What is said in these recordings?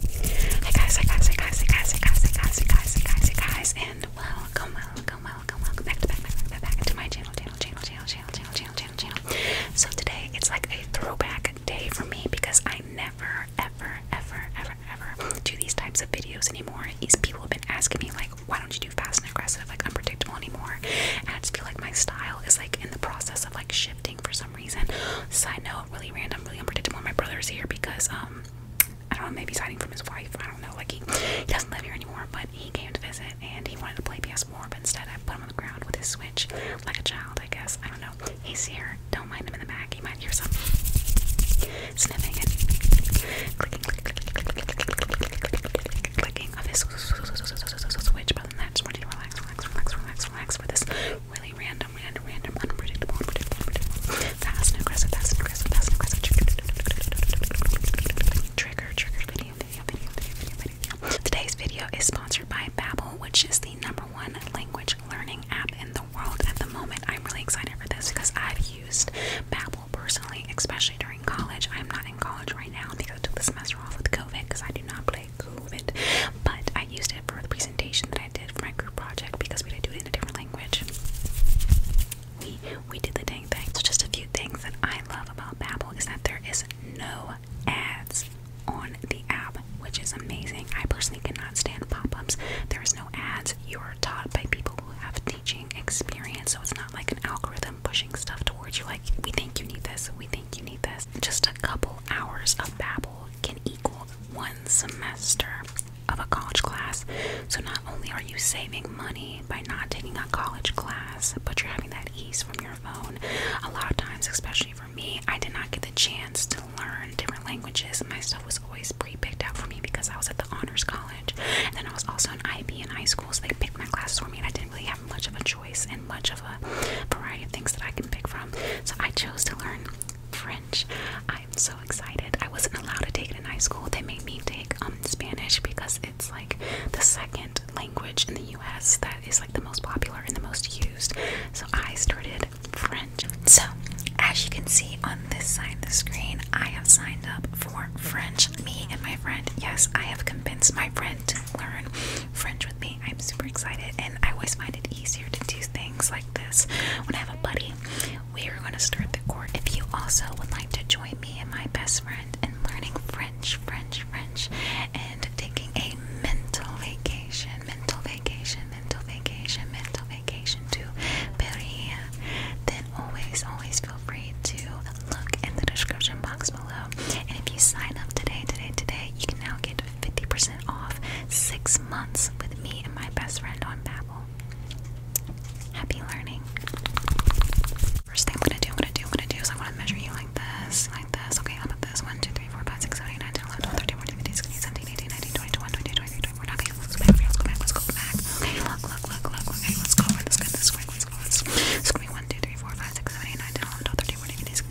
Hey guys, hey guys, hey guys, hey guys, hey guys, hey guys, hey guys, hey guys, and welcome, welcome, welcome, welcome back to back, back, back, to my channel, channel, channel, channel, channel, channel, channel, channel, channel. So today it's like a throwback day for me because I never, ever, ever, ever, ever do these types of videos anymore. These people have been asking me like, why don't you do fast and aggressive, like unpredictable anymore? And I just feel like my style is like in the process of like shifting for some reason. Side note, really random, really unpredictable. My brother's here because um I don't know, maybe he's hiding from his wife. I don't know. Like he, he doesn't live here anymore, but he came to visit and he wanted to play PS4, but instead I put him on the ground with his switch like a child, I guess. I don't know. He's here. Don't mind him in the back. He might hear some sniffing and clicking, clicking, clicking, clicking of his switch. But then that's when you relax, relax, relax, relax, relax for this really Today's video is sponsored by Babbel, which is the number one language learning app in the world at the moment. I'm really excited for this because I've used Babbel personally, especially during college. I'm not in college right now because I took the semester off with COVID because I do not play COVID, but I used it for the presentation that I did for my group project because we had to do it in a different language. We we did the dang thing. So just a few things that I love about Babbel is that there is no ads on the app, which is amazing. I personally cannot stand pop-ups. There is no ads. You are taught by people who have teaching experience, so it's not like an algorithm pushing stuff towards you like we think you need this, we think you need this. Just a couple hours of Babbel can equal one semester of a college class. So not only are you saving money by not taking a college class, but you're having that ease from your phone. A lot of times, especially for me, I did not get the chance to learn different languages. My stuff was always pre-picked out for me because I was at the honors college. And then I was also an IB in high school, so they picked my classes for me and I didn't really have much of a choice and much of a variety of things that I can pick from. So I chose to learn French. I'm so excited. I wasn't allowed to take it in high school. They made me take um, Spanish because it's like the second language in the US that is like the most popular and the most used. So I started French. So as you can see on this side of the screen, I have signed up for French. Me and my friend, yes, I have convinced my friend to learn French with me. I'm super excited, and I always find it easier to do things like this when I have a buddy. We are going to start the court. If you also would like to join me and my best friend in learning French, French, French, and taking a mental vacation, mental vacation, mental vacation, mental vacation to Paris, then always, always feel free to look in the description box below. And if you sign up today, today, today, you can now get 50% off six months with me and my best friend on Babbel. Happy learning. First thing I'm gonna do, I'm gonna do, I'm gonna do is I wanna measure you like this, like this. Okay, I'm at this. 1, 2, 3, 4, 5, 6, 7, 8, 9, 10, 11, 12, 13, 14, 15, 16, 17, 18, 19, 20, 21, 22, 23, 24. Okay, let's go back, let's go back, let's go back. Okay, look, look, look, look, okay, let's go over this, good, this, quick, let's go. Let's go. Let's go. 1, 2, 3, 4, 5, 6, 7, 8, 9, 10, 11, 12, 13, 14, 15, 16,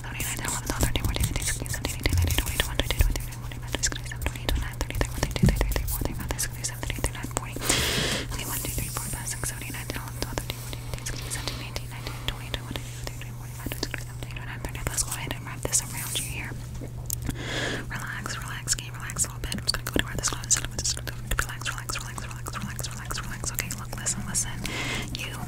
Let's go ahead and wrap this around you here. Relax, relax, can a little bit? I'm just gonna go to where this close. Relax, Okay, look,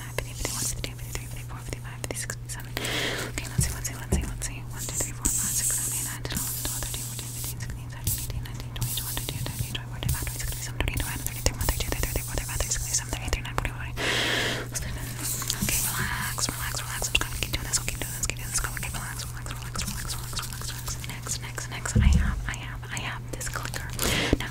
Okay, let's see, let's see, let's see, let's see. 1, 2, 3, 4, 5, 6, 7, 8, 9, 10, 11, 12, 13, 14, 15, 16, 17, 18, 19, 20, 21, 22, 23, 24, 25, 26, 27, 28, 29, 30, 31, 32, 33, 34, 35, 36, 37, 38, 39, 40, 40. Let's do this. Okay, relax, relax, relax. I'm just gonna keep doing this. I'll keep doing this, keep doing this. Go. Okay, relax, relax, relax, relax, relax, relax, relax. Next, next, next. I have, I have, I have this clicker. Now,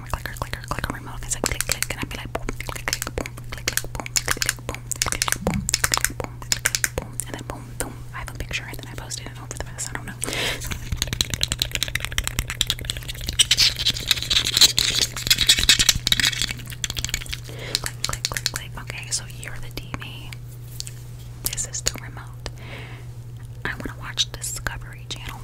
time. Clicker, clicker, click on my click, click, i be like boom, click, click, boom, click, click, boom, click, click, boom, click, click, boom, click, click, boom, and then boom, boom. I have a picture and then I posted it I don't know. Click, click, click, click. Okay, so you're the TV. This is the remote. I want to watch Discovery Discovery Channel.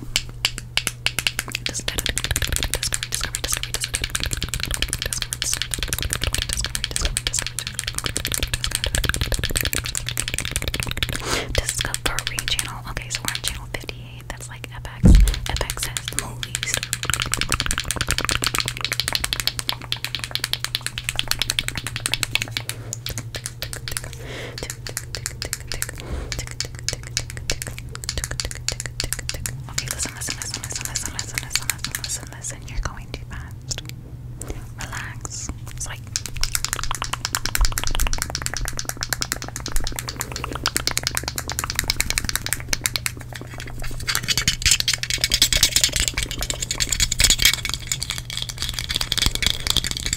Okay, so we're on channel 58. That's like FX. FX has the movies. Okay, listen, listen, listen, listen, listen, listen, listen, listen, listen, listen. You're going too fast. Relax. It's like I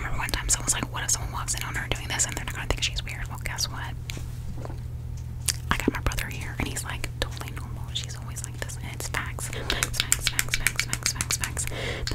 remember one time someone was like, What if someone walks in on her doing this and they're not gonna think she's weird? Well, guess what? I got my brother here and he's like totally normal. She's always like this, and it's facts. Facts, facts, facts, facts, facts, facts, facts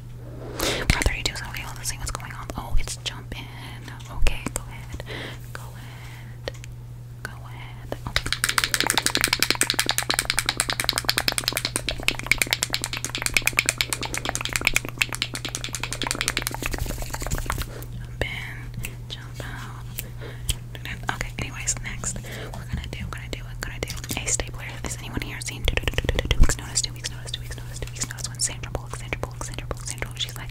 are 32, so okay, well, let's see what's going on. Oh, it's jumping. Okay, go ahead. Go ahead. Go ahead. Jump in. Jump out. Okay, anyways, next. We're gonna do, gonna do, we're gonna do a stapler. Is anyone here seen duplex notice? weeks notice, weeks notice, weeks notice when Sandra Bullock, Sandra Bullock, Sandra Bullock, Sandra Bullock, she's like,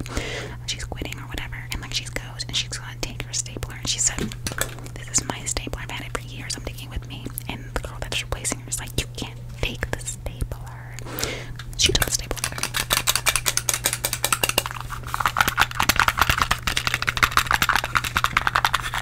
she's quitting or whatever, and like she goes and she's gonna take her stapler, and she said, this is my stapler, I've had it for years, I'm taking with me, and the girl that's replacing her is like, you can't take the stapler. She doesn't stapler.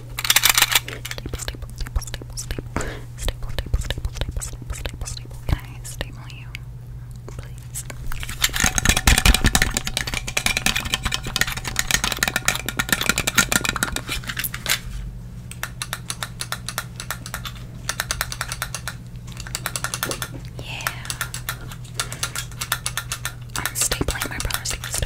Staple, staple, you? Yeah. my brother's ears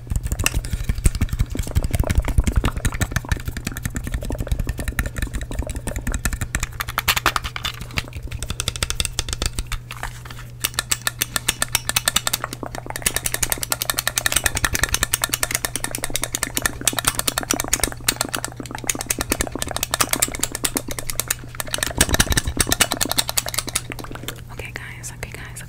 Okay guys, okay guys,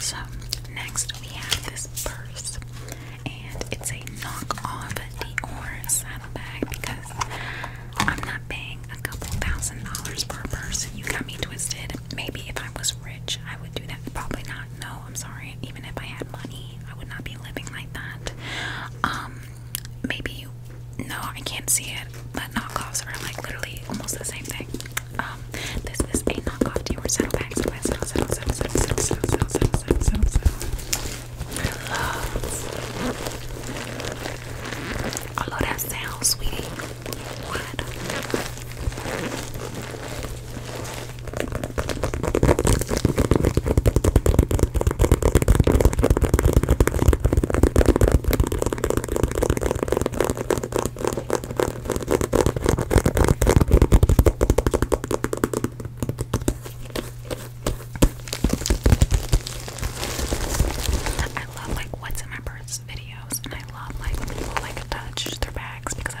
So, next we have this purse, and it's a knockoff Dior bag because I'm not paying a couple thousand dollars per purse. You got me twisted. Maybe if I was rich, I would do that. Probably not. No, I'm sorry. Even if I had money, I would not be living like that. Um maybe no, I can't see it, but knockoffs are like literally almost the same thing. this is a knockoff to your saddlebags. I love I love that sound, sweetie. I love like what's in my purse videos and I love like when people like touch their bags because I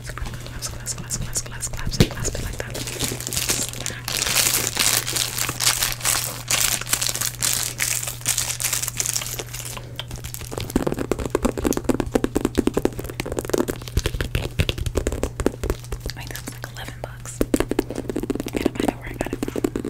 claps, claps, claps, claps, claps, claps, and clasp it like that. I think that was like 11 bucks. I gotta find out where I got it from.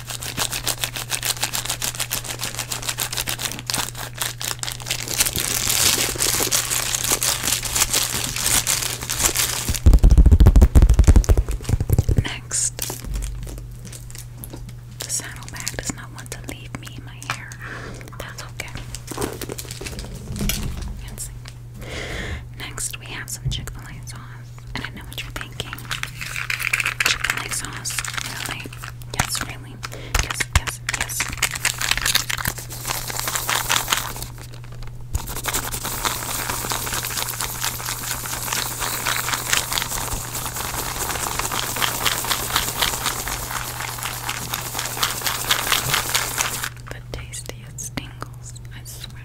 Next, the saddlebag does not want to leave me in my hair. That's okay. Next, we have some Chick fil A sauce, thinking? Chipotle sauce, really? The tastiest tingles, I swear.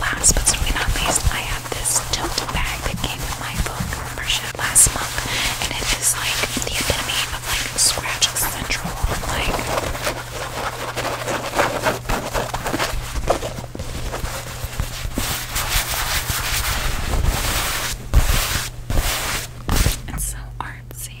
Last but certainly not least, I have this tote bag that came with my book membership last month, and it is like the epitome of like Scratch Central. Like, it's so artsy.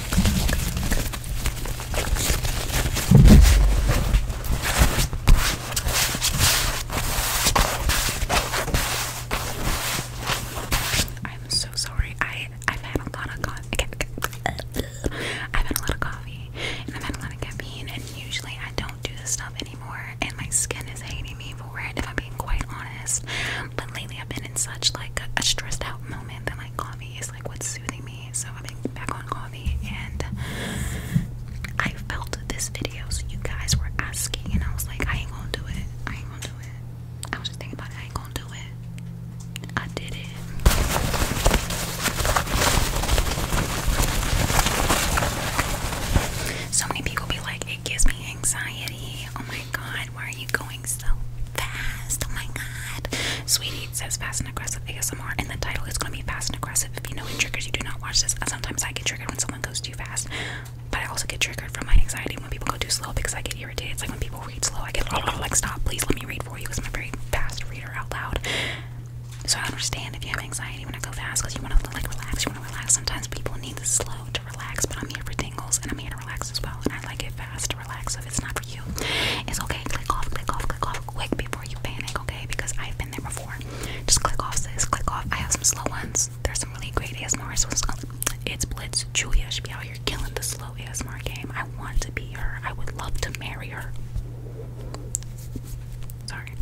I'm so sorry. I I've had a lot of coffee. I've had a lot of coffee and I've had a lot of caffeine, and usually I don't do this stuff anymore. And my skin is hating me for it, if I'm being quite honest. But lately I've been in such like a, stressed out moment that like coffee is like what's soothing me. So I've back on coffee and I felt this video. So you guys were asking and I was like, I ain't gonna do it. I ain't gonna do it. I was just thinking about I ain't gonna do it. I did it. So many people be like, it gives me anxiety. Oh my god, why are you going so fast? Oh my god. Sweetie it says fast and aggressive ASMR and the title is gonna be fast and aggressive. If you know it triggers, you do not watch this. Sometimes I get triggered when someone goes too fast. But I also get triggered from my anxiety when people go too slow because I get irritated. It's like when people read slow, I get like stop, please let me read for you because I'm a very fast reader out loud. So I understand if you have anxiety when I go fast because you want to like relax, you want to relax. Sometimes people need the slow relax, but I'm here for tingles and I'm here to relax as well. And I like it fast to relax. So if it's not for you, it's okay. Click off, click off, click off quick before you panic, okay? Because I've been there before. Just click off, sis. Click off. I have some slow ones. There's some really great ASMR. So it's, it's Blitz. Julia should be out here killing the slow ASMR game. I want to be her. I would love to marry her. Sorry.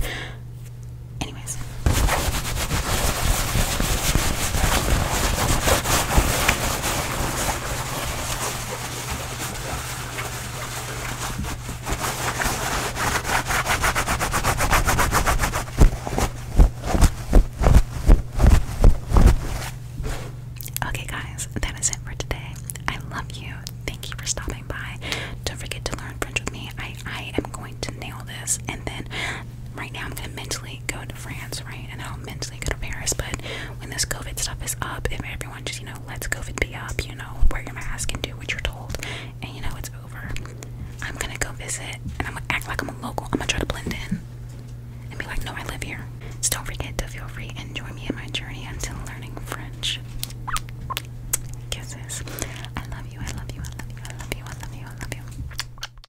Anyways. Okay, guys, that is it for today. I love you. Thank you for stopping by. Don't forget to learn French with me. I I am going to nail this, and then right now I'm gonna mentally mentally go to France, right? And I'll mentally go to Paris. But when this COVID stuff is up, if everyone just, you know, lets COVID be up, you know, wear your mask and do what you're told, and you know, it's over. I'm gonna go visit and I'm gonna act like I'm a local. I'm gonna try to blend in and be like, no, I live here. So don't forget to feel free and join me in my journey until learning French. Kisses. I love you, I love you, I love you, I love you, I love you, I love you.